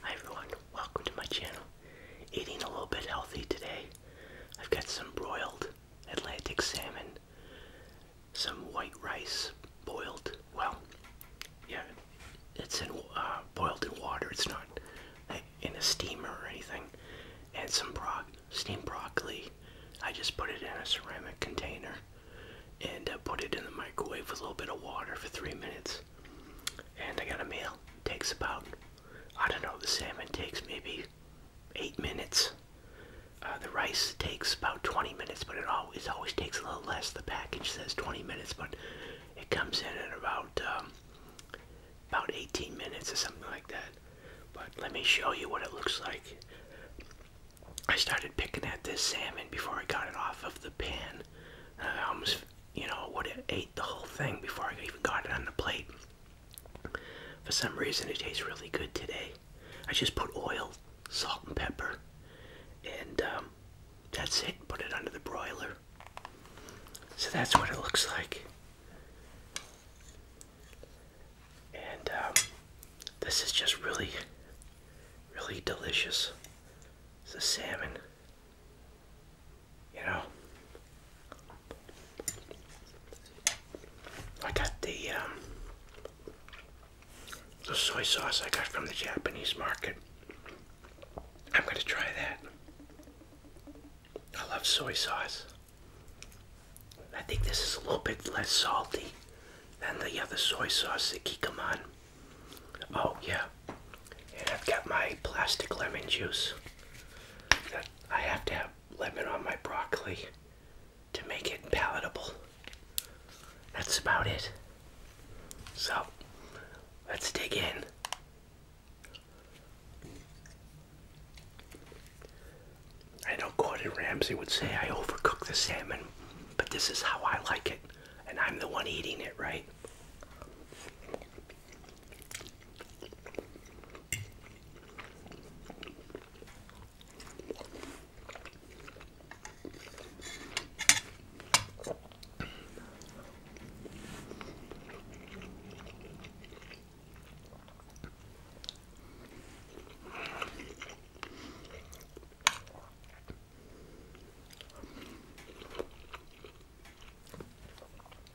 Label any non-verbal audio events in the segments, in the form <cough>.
Hi everyone, welcome to my channel. Eating a little bit healthy today. I've got some broiled Atlantic salmon, some white rice boiled. Well, yeah, it's in uh, boiled in water. It's not in a steamer or anything. And some bro steamed broccoli. I just put it in a ceramic container and uh, put it in the microwave with a little bit of water for three minutes. And I got a meal. Takes about, I don't know, the salmon takes maybe eight minutes. Uh, the rice takes about 20 minutes, but it always always takes a little less. The package says 20 minutes, but it comes in at about um, about 18 minutes or something like that. But let me show you what it looks like. I started picking at this salmon before I got it off of the pan. I almost, you know, would have ate the whole thing before I even got it on the plate. For some reason, it tastes really good today. I just put oil, salt, and pepper, and um, that's it. Put it under the broiler. So that's what it looks like. And um, this is just really, really delicious. It's the salmon. You know, I got the um, the soy sauce I got from the Japanese market. I'm gonna try that. I love soy sauce. I think this is a little bit less salty and the other soy sauce, the Kikkoman. Oh, yeah. And I've got my plastic lemon juice. That I have to have lemon on my broccoli to make it palatable. That's about it. So, let's dig in. I know Gordon Ramsay would say I overcook the salmon, but this is how I like it, and I'm the one eating it, right?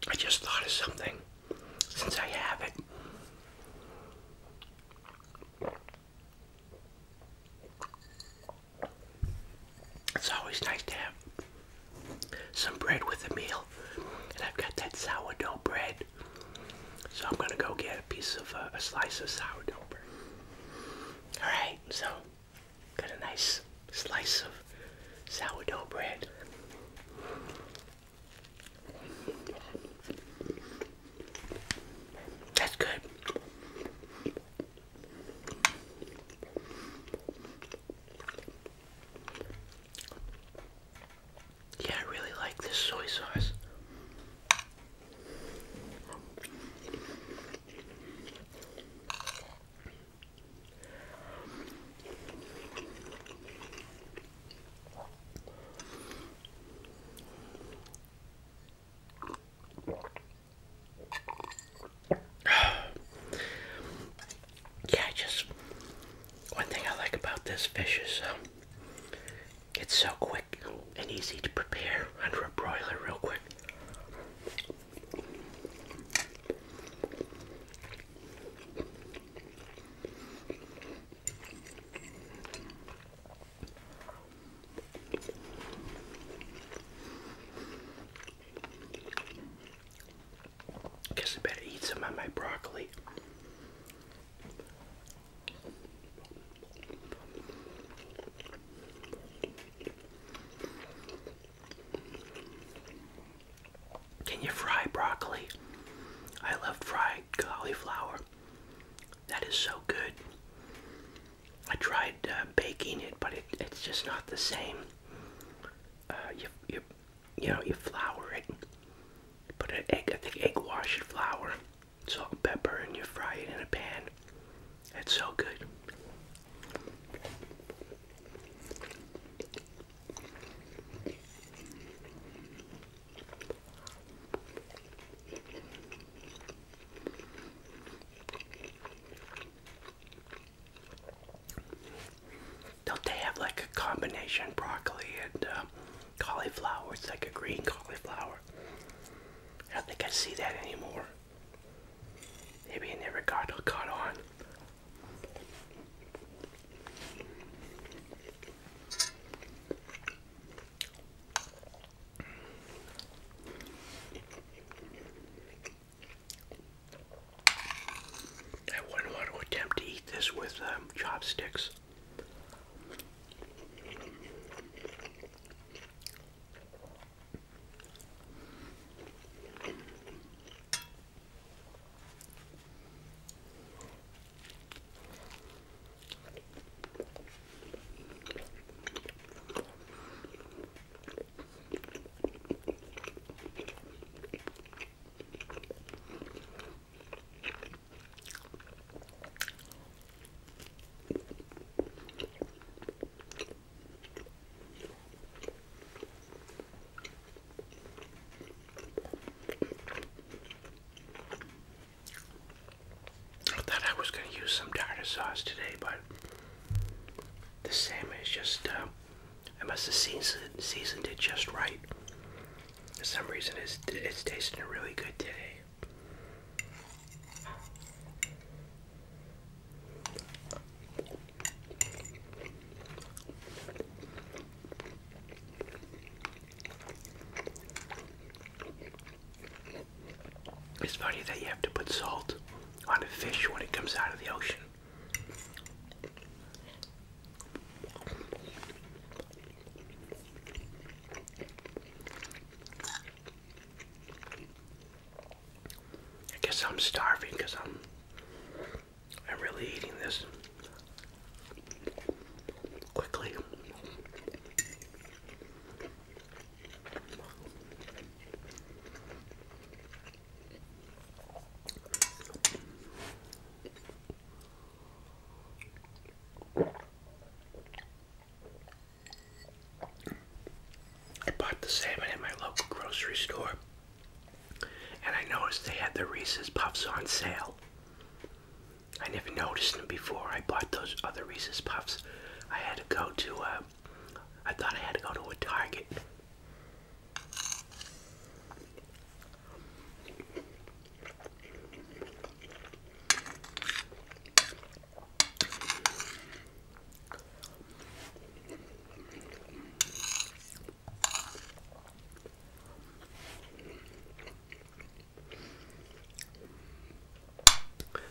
I just thought of something since I have it. It's always nice to have some bread with a meal, and I've got that sourdough bread so I'm gonna go get a piece of uh, a slice of sourdough bread. All right, so got a nice slice of sourdough bread. That's good. Yeah, I really like this soy sauce. <sighs> yeah, just one thing I like about this fish is um, it's so quick and easy to prepare under a broiler real quick. Guess I better eat some of my broccoli. Can you fry broccoli? I love fried cauliflower. That is so good. I tried uh, baking it, but it, it's just not the same. Uh, you, you you know, you flour it. put an egg, I think egg wash and flour, salt pepper, and you fry it in a pan. It's so good. Don't they have like a combination broccoli and um, cauliflower? It's like a green cauliflower. I don't think I see that anymore. Maybe it never got caught on. I wouldn't want to attempt to eat this with um, chopsticks. I thought I was going to use some tartar sauce today, but the salmon is just uh, I must have seasoned, seasoned it just right. For some reason, it's, it's tasting really good today. It's funny that you have to put salt on a fish when it comes out of the ocean. I guess I'm starving because I'm I'm really eating this quickly. I bought the salmon at my local grocery store, and I noticed they had the Reese's Puffs on sale. I never noticed them before. I bought those other Reese's Puffs. I had to go to, a. Uh, I thought I had to go to a Target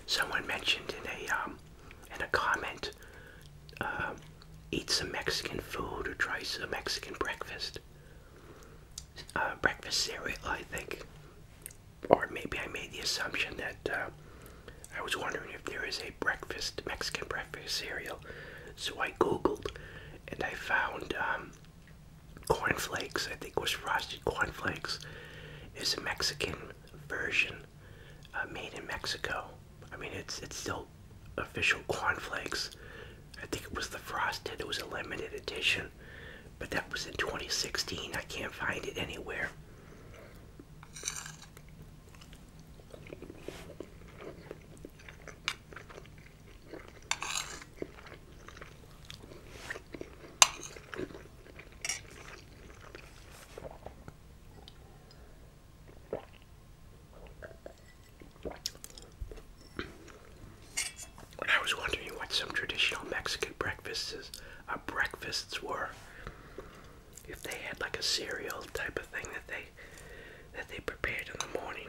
Someone mentioned in a um, in a comment um, eat some Mexican food or try some Mexican breakfast. Uh, breakfast cereal, I think. Or maybe I made the assumption that uh, I was wondering if there is a breakfast, Mexican breakfast cereal. So I googled and I found um, cornflakes, I think was frosted cornflakes, is a Mexican version uh, made in Mexico. I mean, it's it's still official cornflakes. I think it was the frosted. It was a limited edition, but that was in 2016. I can't find it anywhere. I was wondering what some traditional Mexican breakfasts, uh, breakfasts were. If they had like a cereal type of thing that they that they prepared in the morning.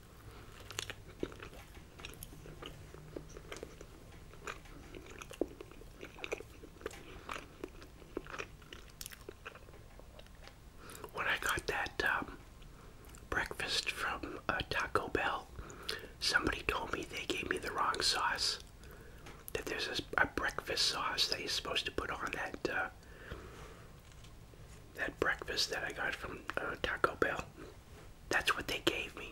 When I got that um, breakfast from uh, Taco Bell, somebody told me they gave me the wrong sauce. That there's a, breakfast sauce that you're supposed to put on that uh, that breakfast that I got from uh, Taco Bell. That's what they gave me.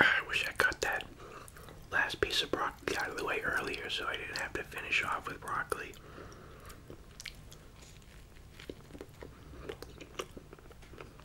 I wish I cut that last piece of broccoli out of the way earlier so I didn't have to finish off with broccoli.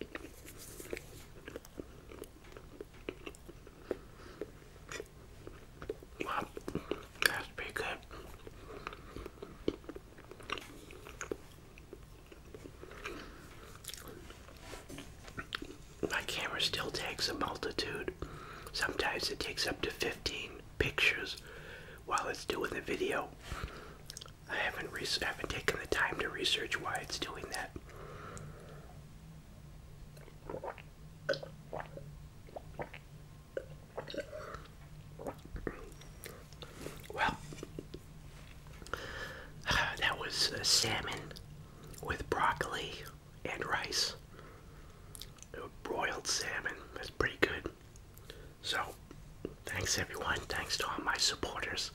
that's pretty good. My camera still takes a multitude. Sometimes it takes up to 15 pictures while it's doing the video. I haven't re I haven't taken the time to research why it's doing that. Well, <sighs> that was uh, salmon with broccoli and rice. Broiled salmon. That's pretty good. So, thanks everyone. Thanks to all my supporters.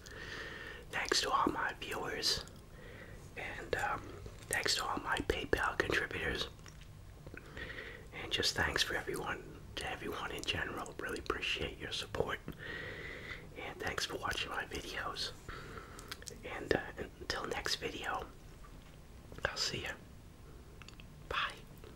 Thanks to all my viewers. And um, thanks to all my PayPal contributors. And just thanks for everyone, to everyone in general. Really appreciate your support. And thanks for watching my videos. And uh, until next video, I'll see you. Bye.